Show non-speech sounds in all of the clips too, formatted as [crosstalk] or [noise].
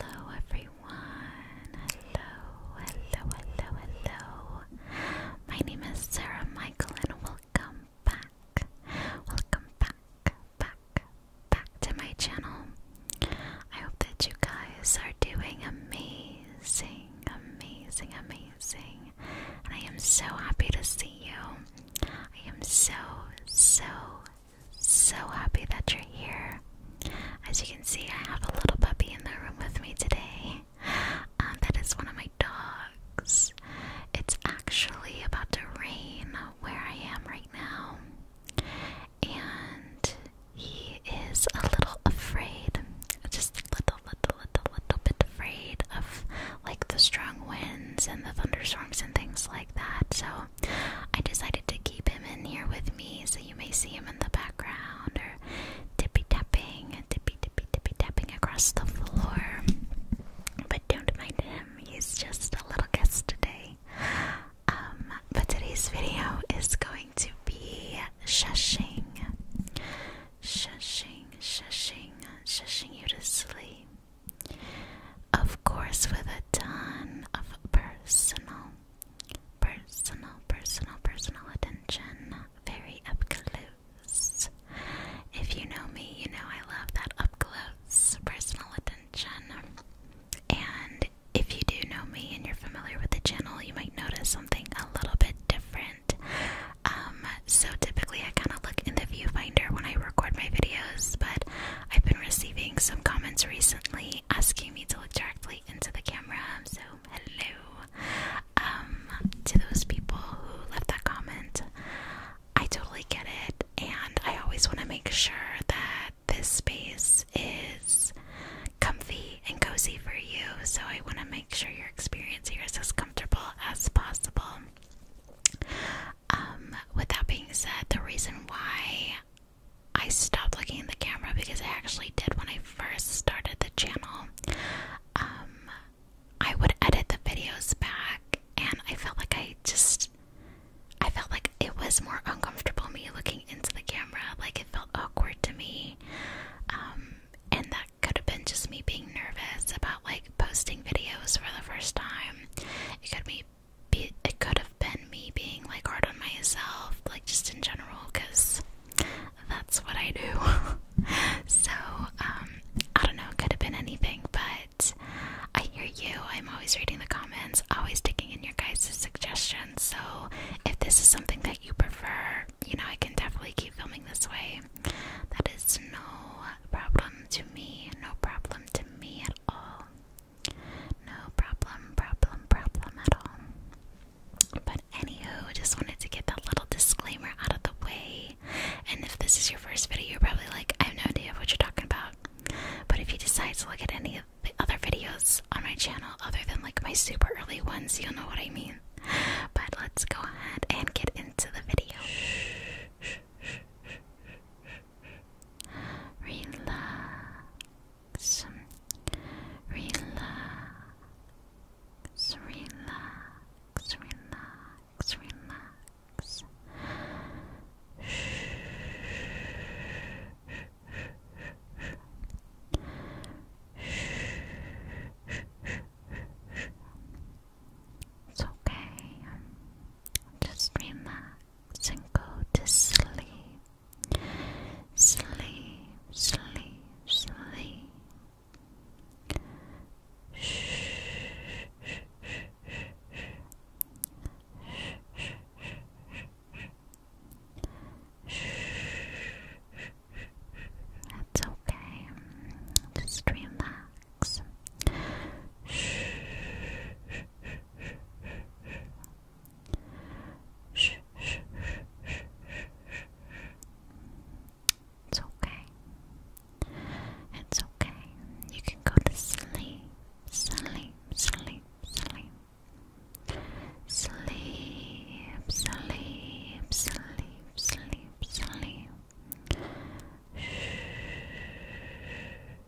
Hello everyone. Hello, hello, hello, hello. My name is Sarah Michael and welcome back. Welcome back, back, back to my channel. I hope that you guys are doing amazing, amazing, amazing. And I am so happy to see you. I am so, so, so happy that you're here. As you can see, I have a little puppy in the room with me today. Um, that is one of my dogs. It's actually about to rain where I am right now, and he is a little afraid. Just a little, little, little, little bit afraid of like the strong winds and the thunderstorms and things like that. So I decided to keep him in here with me so you may see him in the background or tippy tapping, tippy tippy tippy tapping across the floor. But don't mind him, he's just a little guest today. Um, but today's video is going to be shushing. Shushing, shushing, shushing you to sleep. Of course, with a ton of personal, personal, personal, personal attention. Very up close. If you know me, you know I love that up close personal attention. And if you do know me and you're familiar with the channel, you might notice something a little bit different. Um, so typically I kind of look in the viewfinder when I record my videos, but I've been receiving some comments recently asking me to look directly into the camera, so hello um, to those people who left that comment. I totally get it, and I always want to make sure that this space is comfy and cozy for you, so I want to make sure your experience here is as comfortable as possible. Um, with that being said, the reason why I stopped looking at the camera because I actually did when I first started the channel. Um, I would edit the videos back, and I felt like I just. I felt like it was more uncomfortable me looking into the camera, like it felt awkward to me. Um, and that could have been just me being nervous about like posting videos for the first time. It could be it could have been me being like hard on myself, like just in general, because that's what I do. [laughs] so, um, I don't know, it could have been anything, but I hear you. I'm always reading the comments, always taking in your guys' suggestions. So, if this is something that you prefer, you know, I can definitely keep filming this way. That is no problem to me, no problem to me at all. No problem, problem, problem at all. But anywho, just wanted to get that little disclaimer out of the way. And if this is your first video, you're probably like, I have no idea what you're talking about. But if you decide to look at any of the other videos on my channel, other than like my super early ones, you'll know what I mean. But let's go ahead and get into the video relax, relax, relax, relax, relax. It's okay. Just relax and go to sleep. Sleep, sleep, sleep. Shh, shh, shh, shh, shh. That's okay. Just relax. Shh, shh, shh, Shh, shh, shh, shh, It's okay. It's okay. You can go to sleep, sleep, sleep, sleep. Sleep, sleep, sleep, sleep, sleep. Shh, shh,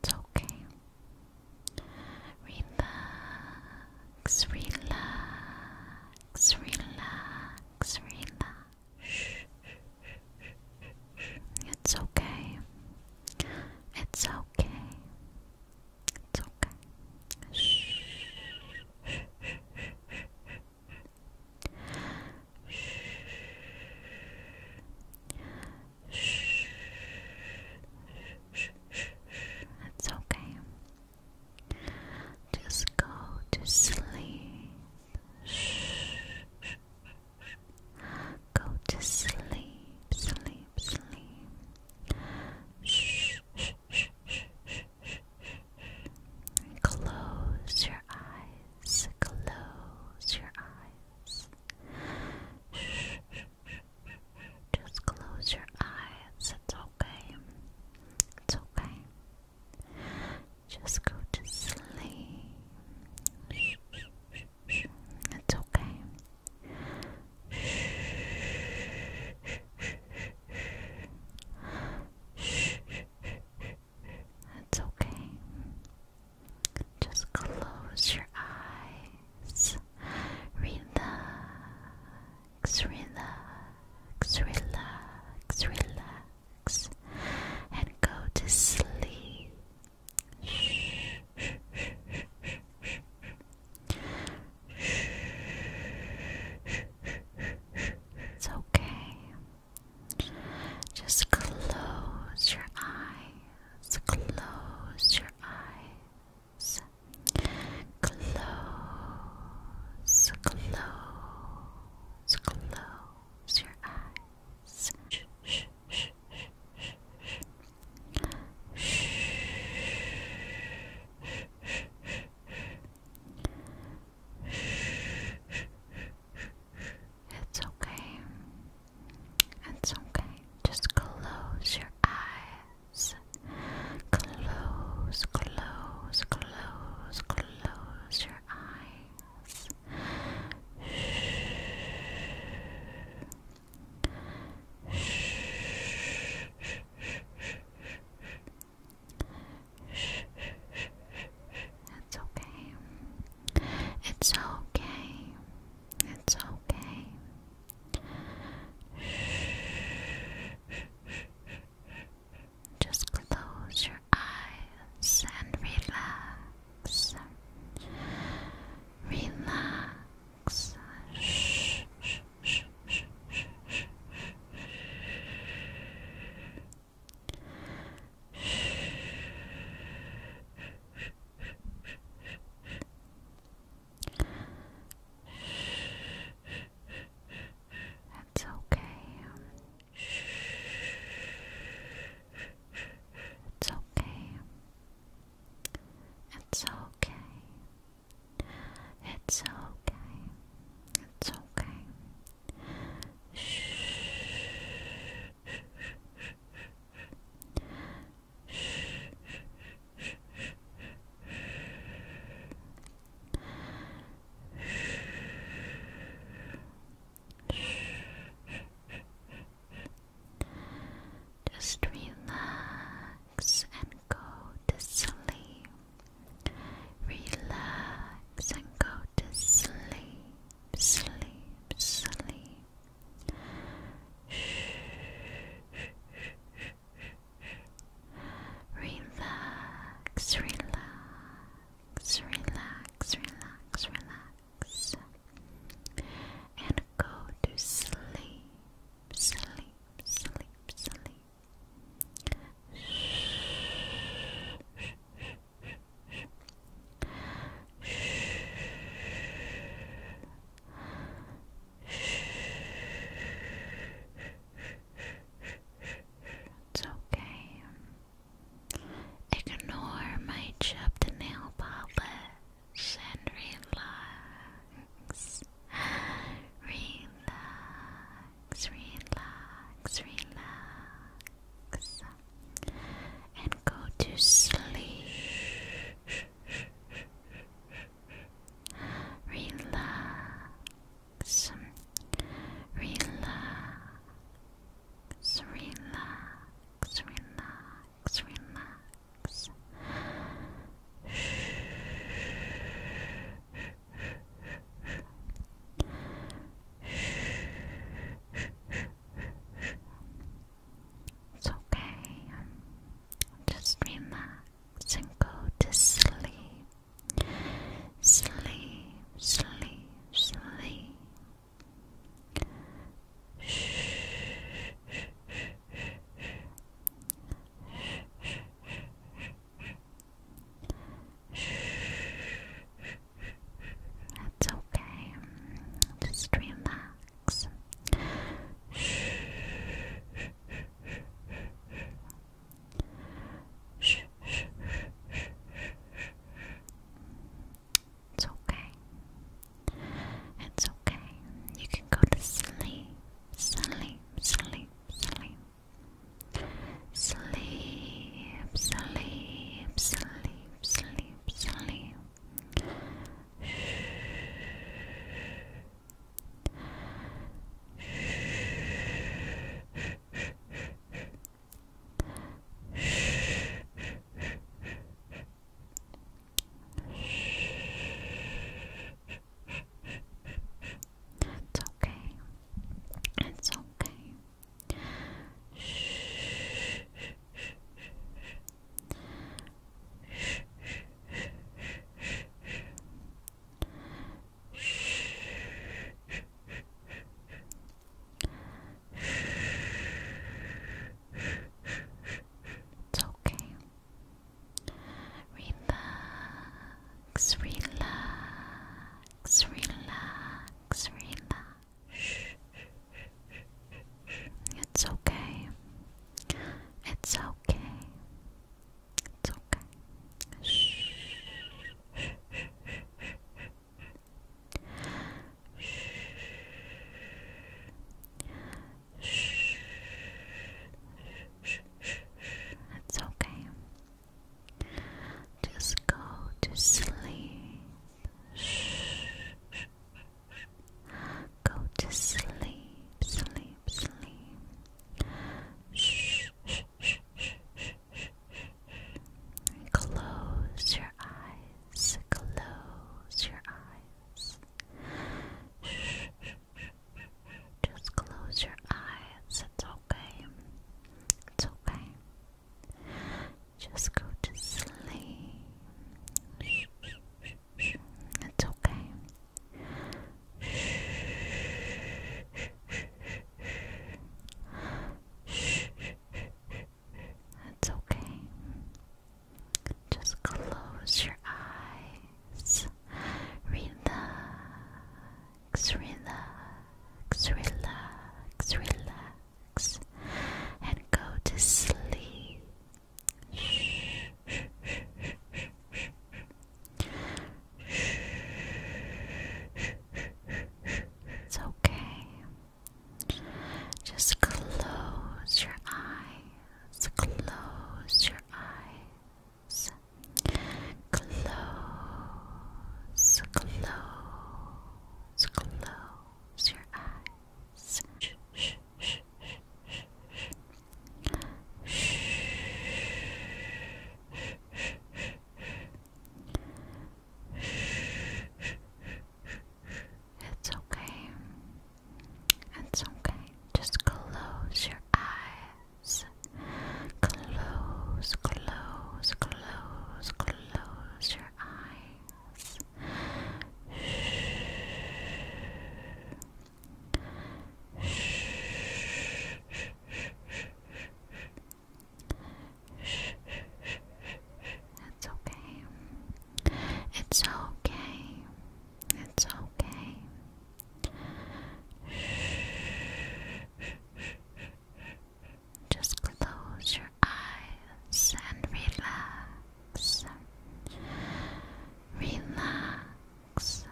It's okay. Relax, relax, relax, relax. It's okay. It's okay. It's okay. Shh. Shh. Shh. Shh. Shh. It's okay. Just go to sleep. Shh. Go to sleep, sleep, sleep. Shh, shh, shh, shh, shh, shh, shh. Close your eyes, close your eyes. Shh, shh, shh, shh, shh. Just close your eyes, it's okay. It's okay. Just go to sleep. shh, shh, it's okay. Shh, shh, shh, it's okay. Just close your eyes. Relax, relax, relax, relax, and go to sleep. It's okay. Just close your eyes. Close your eyes. Close, close, close your eyes. It's okay. It's okay. Just close your eyes. Close, close, close, close your eyes. It's okay. It's okay. It's okay. Just close your eyes and relax relax. Shh, shh, shh, shh, shh, shh, that's okay. It's okay. It's okay. It's okay. It's okay. Shh. Shh. Just relax and go to sleep. Relax and go to sleep, sleep, sleep. Relax, relax, relax, relax, relax and go to sleep, sleep, sleep, sleep. It's okay. Ignore my chipped nail polish and relax. Relax, relax, relax. And go to sleep. Relax. Relax relax, relax, relax, relax. It's okay. Just relax and go to sleep. Sleep, sleep, sleep. That's okay. Just relax. It's okay. It's okay. You can go to sleep, sleep, sleep, sleep. Sleep, sleep, sleep, sleep, sleep. Shh. Shh. Shh. Shh. It's okay. It's okay. Shh. Shh. It's okay. Relax, relax, relax, relax. It's okay. It's okay. It's okay. Shh. It's okay. Just go to sleep. Go to sleep, sleep, sleep. Close your eyes. Close your eyes. Just close your eyes. It's okay. It's okay. Just go to sleep. It's okay. That's okay. Just close your eyes. Relax, relax, relax, relax, and go to sleep. It's okay. Just close your eyes, close your eyes, close, close, close your eyes. Shh, shh, shh, shh, shh, shh. Shh, shh, shh, it's okay. It's okay. Just close your eyes. Close, close, close, close your eyes. Shh, shh, It's okay. It's okay. It's okay. Just close your eyes and relax. Relax.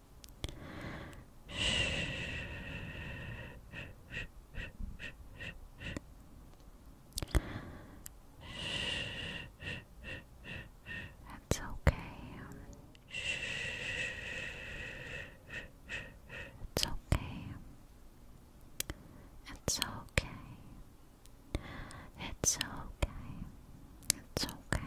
That's okay. It's okay. It's okay. It's okay. It's okay.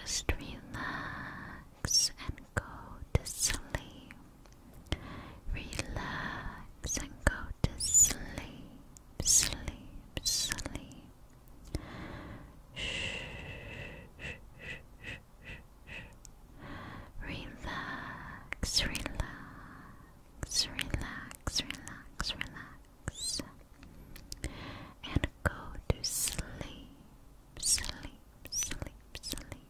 Just relax and go to sleep. Relax and go to sleep, sleep, sleep. Relax, relax, relax, relax, relax. And go to sleep, sleep, sleep, sleep.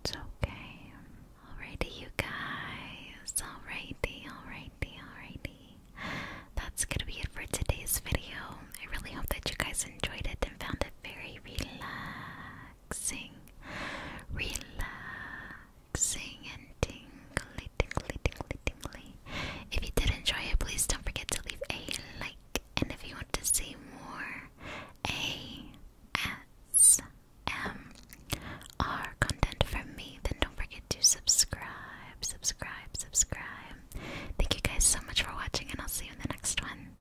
It's okay. Alrighty, you guys. Alrighty, alrighty, alrighty. That's gonna be it for today's video. I really hope that you guys enjoyed it and found it very relaxing relaxing, relaxing and tingly, tingly, tingly, tingly. If you did enjoy it, please don't forget to leave a like. And if you want to see more ASMR content from me, then don't forget to subscribe, subscribe, subscribe. Thank you guys so much for watching, and I'll see you in the next one.